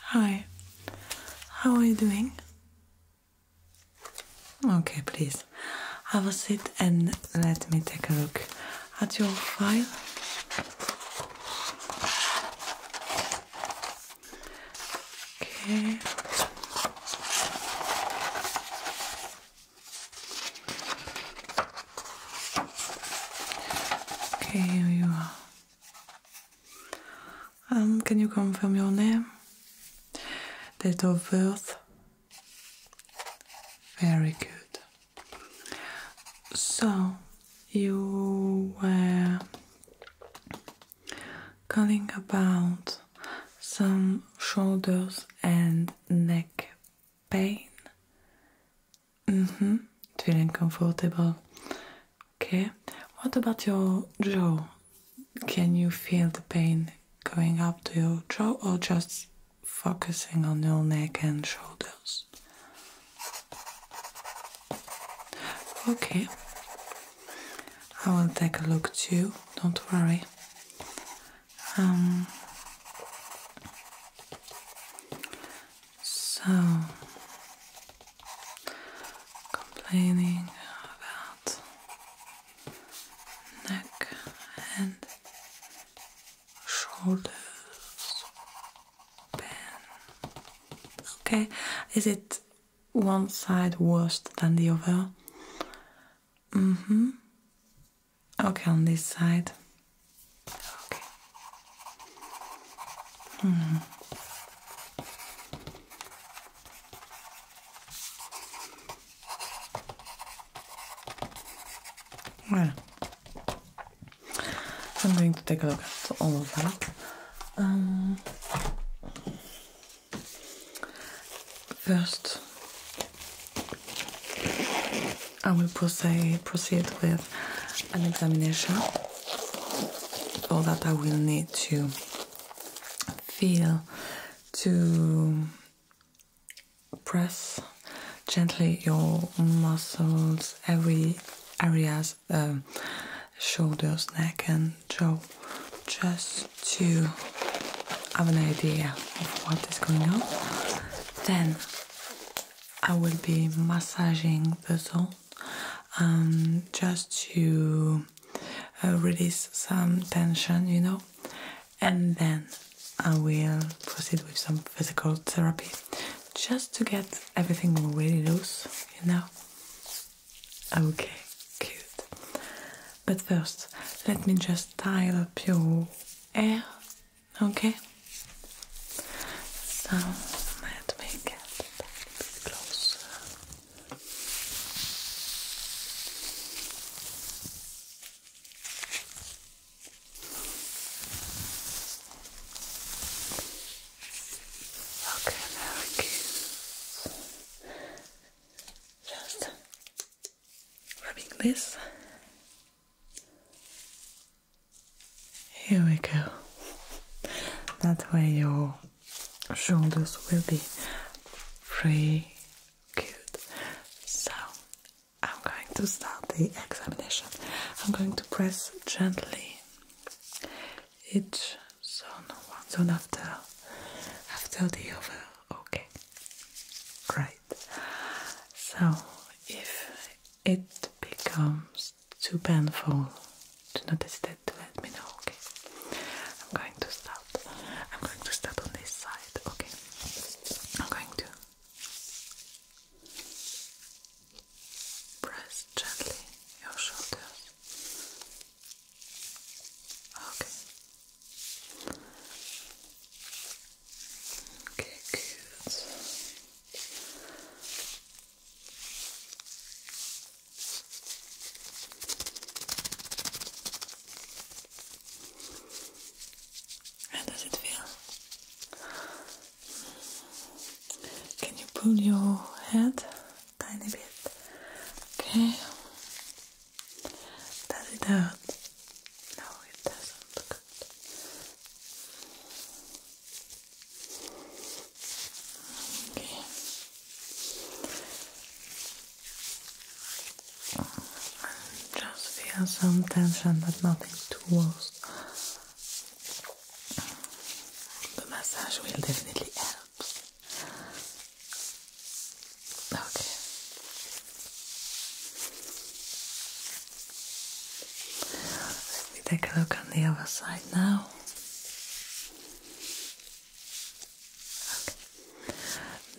Hi, how are you doing? Okay, please have a seat and let me take a look at your file. Okay. Okay, here you are. Um, can you confirm your name? Date of birth? Very good. So, you were calling about some shoulders and neck pain. Mm-hmm. Feeling comfortable. Okay. What about your jaw? Can you feel the pain going up to your jaw or just focusing on your neck and shoulders? Okay. I will take a look too, don't worry. Um, so, complaining about neck and shoulders pain. Okay, is it one side worse than the other? Mm hmm. Okay, on this side. Okay. -hmm. Well, I'm going to take a look at all of that. Um, First, I will proceed, with an examination. All that I will need to feel to press gently your muscles, every areas, uh, shoulders, neck, and jaw. chest to have an idea of what is going on, then I will be massaging the zone um, just to uh, release some tension, you know, and then I will proceed with some physical therapy just to get everything really loose, you know. Okay, cute. But first, let me just tie up your hair, okay? So let me get a bit Okay, Just rubbing this. Here we go. That way your shoulders will be free. Good. So I'm going to start the examination. I'm going to press gently each zone, one zone after after the other. Okay, right. So if it becomes too painful, do not hesitate to let me know. Okay, I'm going to start. I'm going to start on this side. Okay, I'm going to press gently your shoulders. Okay. Okay, good. How does it feel? Can you pull your head tiny bit? Okay. Does it hurt? No, it doesn't. Good. Okay. Just feel some tension, but nothing too worse. The massage will definitely help. Okay. Let me take a look on the other side now.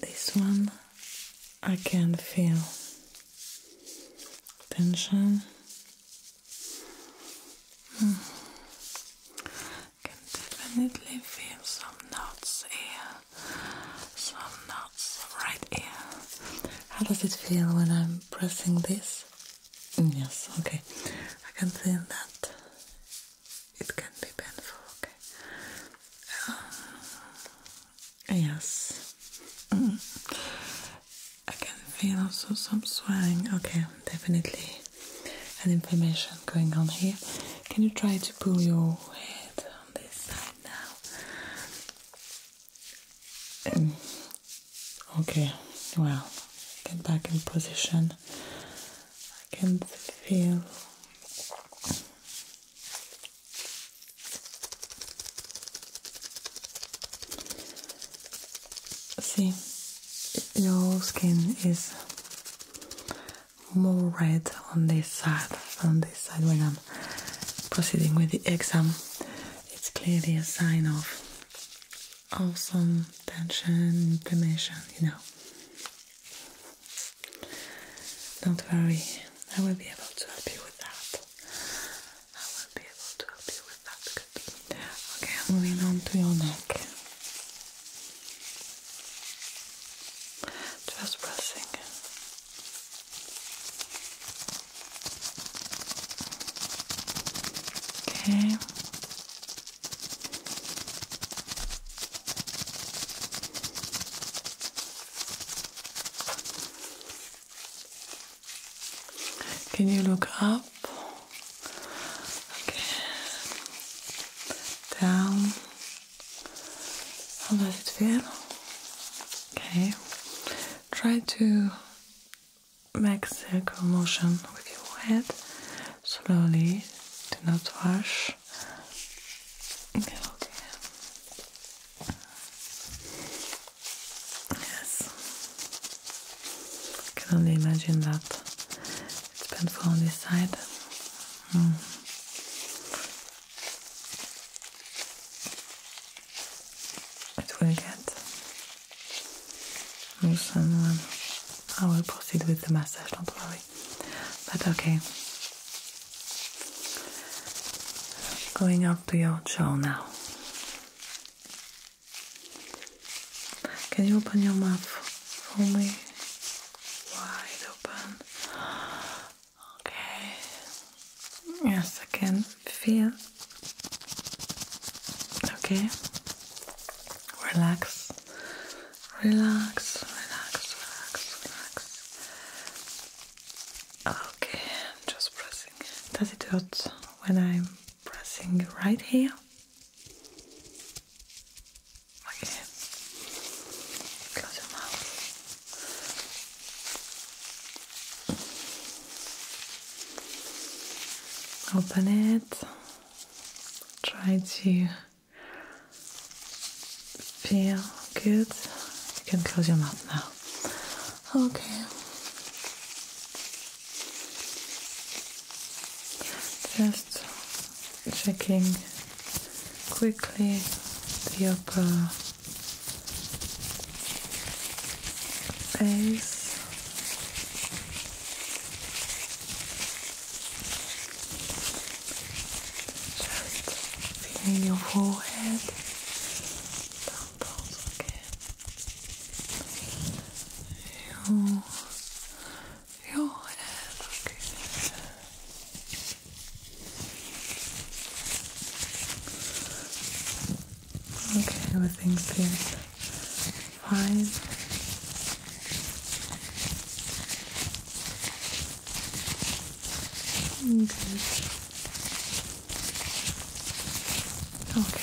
This one I can feel tension. Hmm definitely feel some knots here, some knots right here. How does it feel when I'm pressing this? Mm, yes, okay. I can feel that it can be painful, okay. Uh, yes. Mm. I can feel also some swelling. Okay, definitely an inflammation going on here. Can you try to? pull your head on this side now. Um, okay, well, get back in position. I can feel. See, your skin is more red on this side on this side when I'm proceeding with the exam. It's clearly a sign of awesome tension, inflammation, you know. Don't worry, I will be able to help you with that. I will be able to help you with that. Good. Okay, moving on to your neck. Just pressing Okay. Can you look up? Okay. Down. How does it feel? Okay. Try to make circular motion with your head slowly. Do not rush. Okay. Yes. I can only imagine that it's painful on this side. Hmm. It will get loosen um, I will proceed with the massage, don't worry. But okay. Going up to your jaw now. Can you open your mouth for me? wide open. Okay. Yes, I can feel. Okay. Relax. Relax, relax, relax, relax. Okay, just pressing. Does it hurt when I'm pressing right here? Okay. Close your mouth. Open it. Try to feel good. You can close your mouth now. Okay. Just checking quickly the upper face. Just feeling your forehead. Temples again. Your your okay, everything's good fine good okay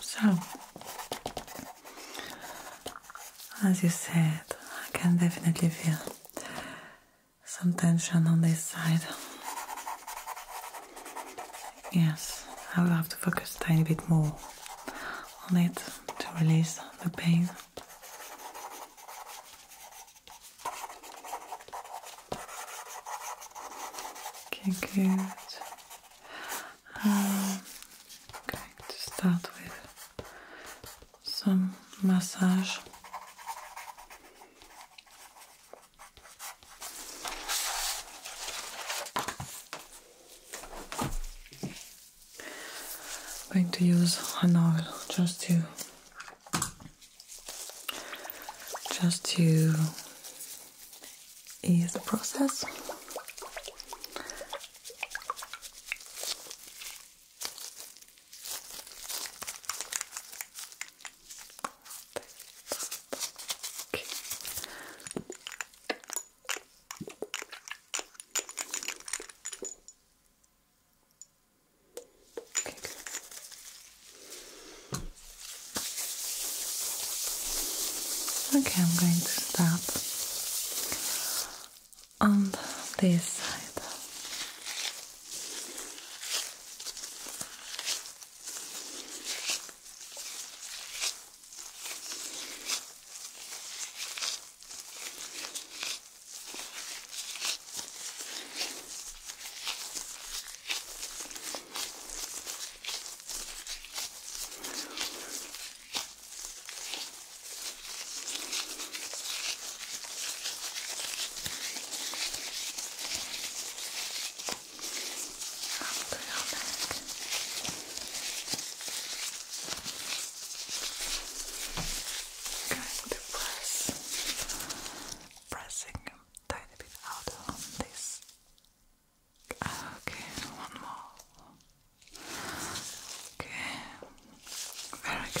So, as you said, I can definitely feel some tension on this side. Yes, I will have to focus a tiny bit more on it to release the pain. Okay, good. I'm going to start with some massage. I'm going to use an oil just to just to is the process. Okay, I'm going to start on this side. Going to press, pressing a tiny bit out on this Okay, one more. Okay, very good. Okay.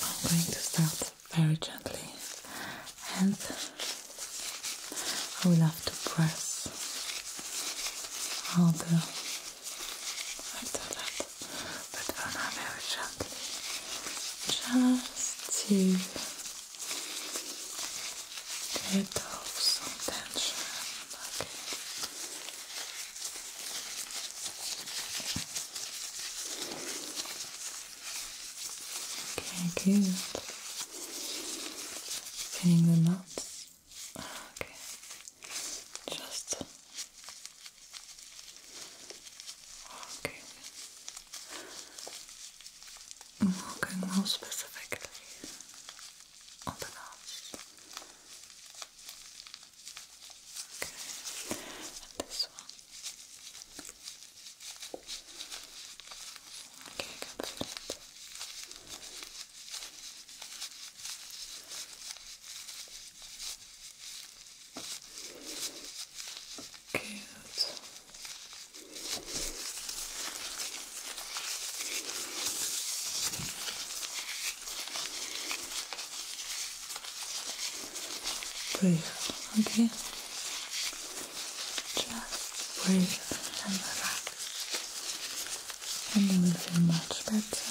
I'm going to start very gently and I will have to press all the after that, but very gently, just to get off some tension. Okay. Okay, good. Pinning them up. Okay. Just okay. i okay, more specifically on the nose. Okay, and this one. Okay, I can feel it. Good. Breathe, okay? Just breathe and relax, and you will much better.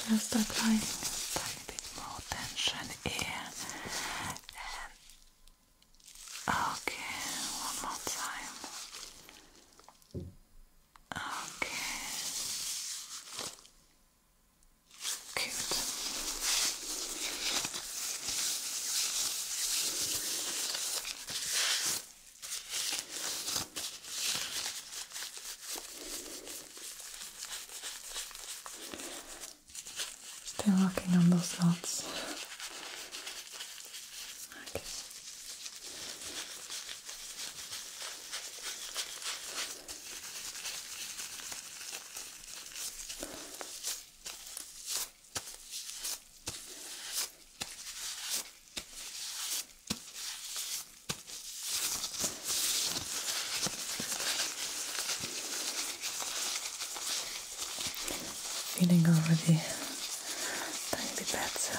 Just applying a bit more tension here Okay, one more time. Okay. Cute. Still working on those knots. Okay feeling already tiny bit better.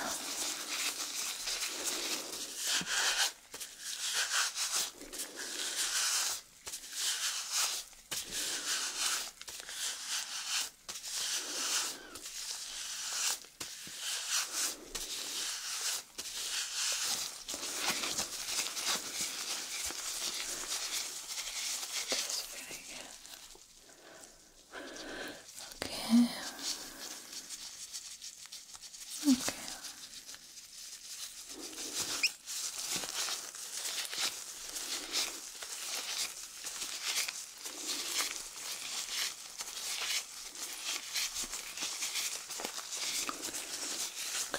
Okay. Okay.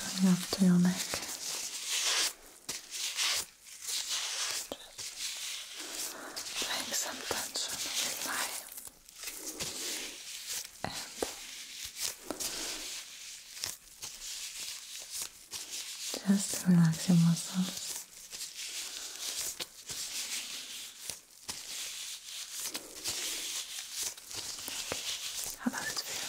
Going up to your neck. Okay. Just some tension with just relax your muscles. How does it feel?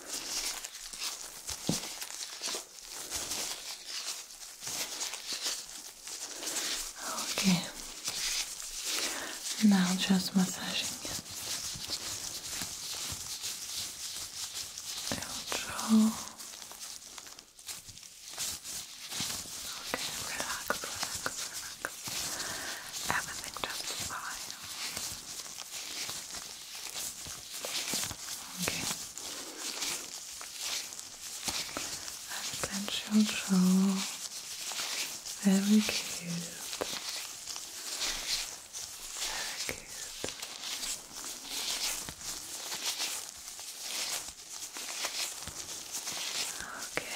Okay. Now just massaging it. Control. Okay, relax, relax, relax. Everything just fine. Okay. very cute. Very cute. Okay.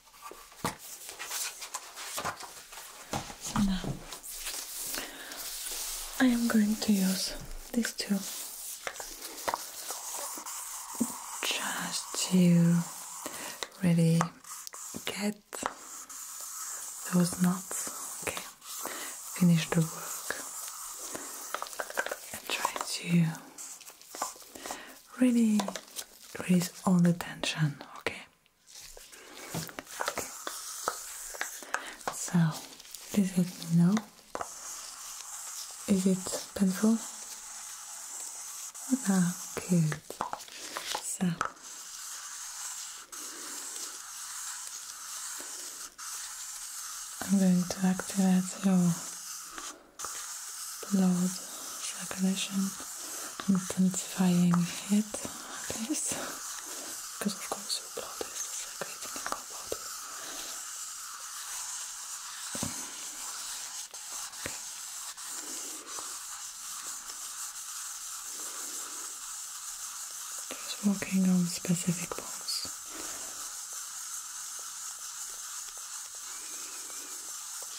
now uh, I am going to use these two just to really get those knots. Okay, finish the work and try to really release all the tension, okay? Okay. So, please let me Is it painful? Ah, good. So. I'm going to activate you blood circulation, intensifying it, please. Because of course your blood is circulating in your body. Just working on specific bones.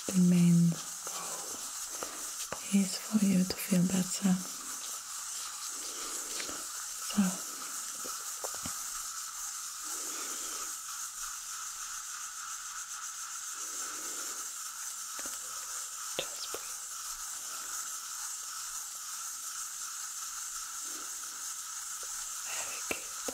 The main goal is for you to feel better. So just breathe. Very good.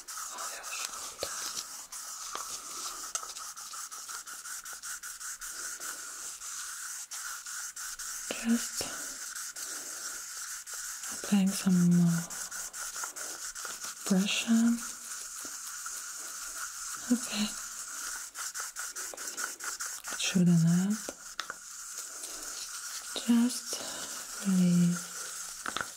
just applying some more pressure. Okay. It should enough. Just release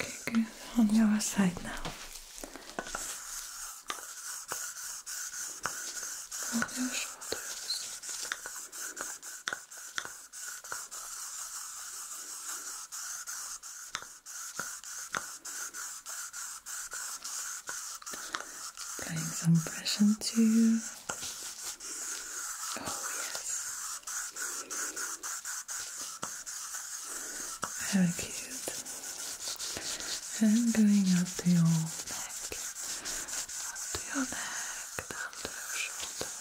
Okay, good. On the other side now. Hold your shoulders. Applying some pressure to you. Oh yes. Very cute. And going up to your neck, to your neck, down to your shoulders,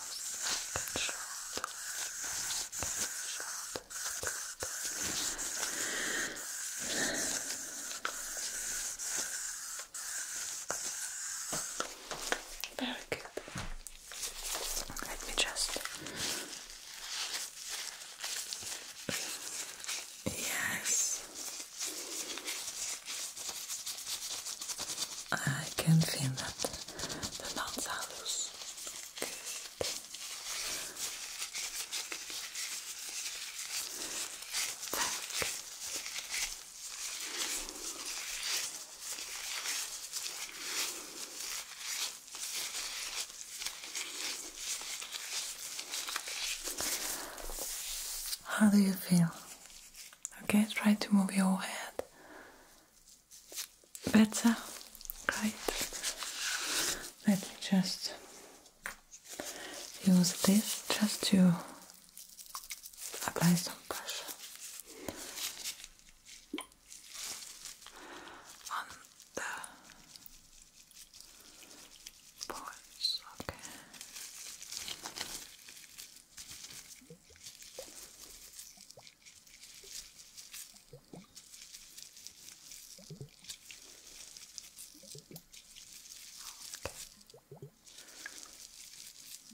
neck and shoulders, Very good. Let me just. Yes. I can feel that the knots are loose. How do you feel? Okay, try to move your head. Better? Great. Let me just use this just to apply some pressure on the points,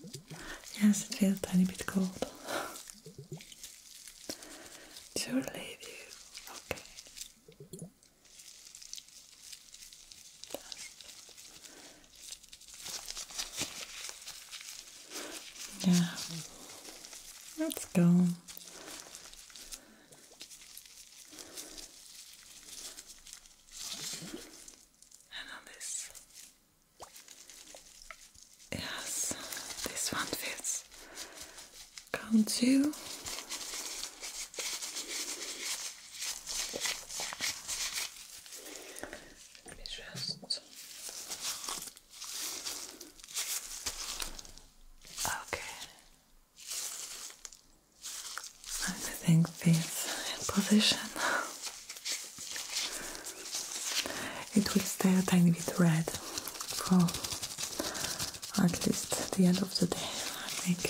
Okay. Yes, it feels a tiny bit cold. to relieve you. Okay. Yeah. Let's go. And Yes, this one fits. Can't you? Let me just. Okay. I think this position it will stay a tiny bit red for at least the end of the day, I think.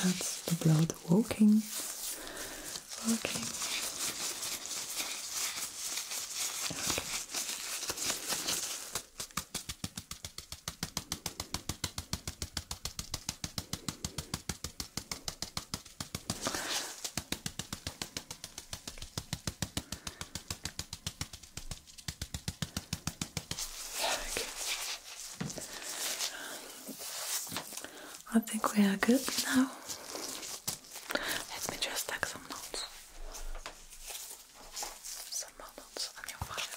That's the blood walking. Walking. I think we are good now. Let me just take some notes. Some more notes on your file.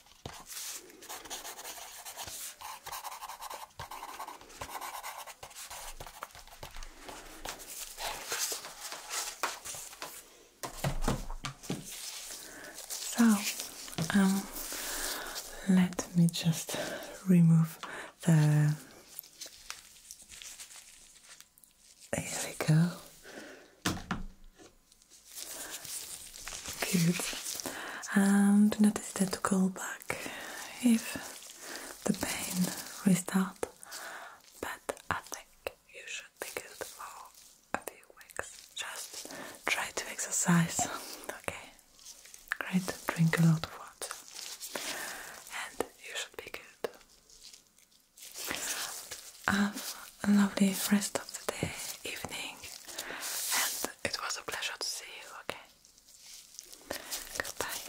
So, um, let me just remove the. There we go. Good. And notice that to call back if the pain restart. But I think you should be good for a few weeks. Just try to exercise. Okay. Great. Drink a lot of water. And you should be good. I've a lovely rest of the day, evening, and it was a pleasure to see you, okay? Goodbye.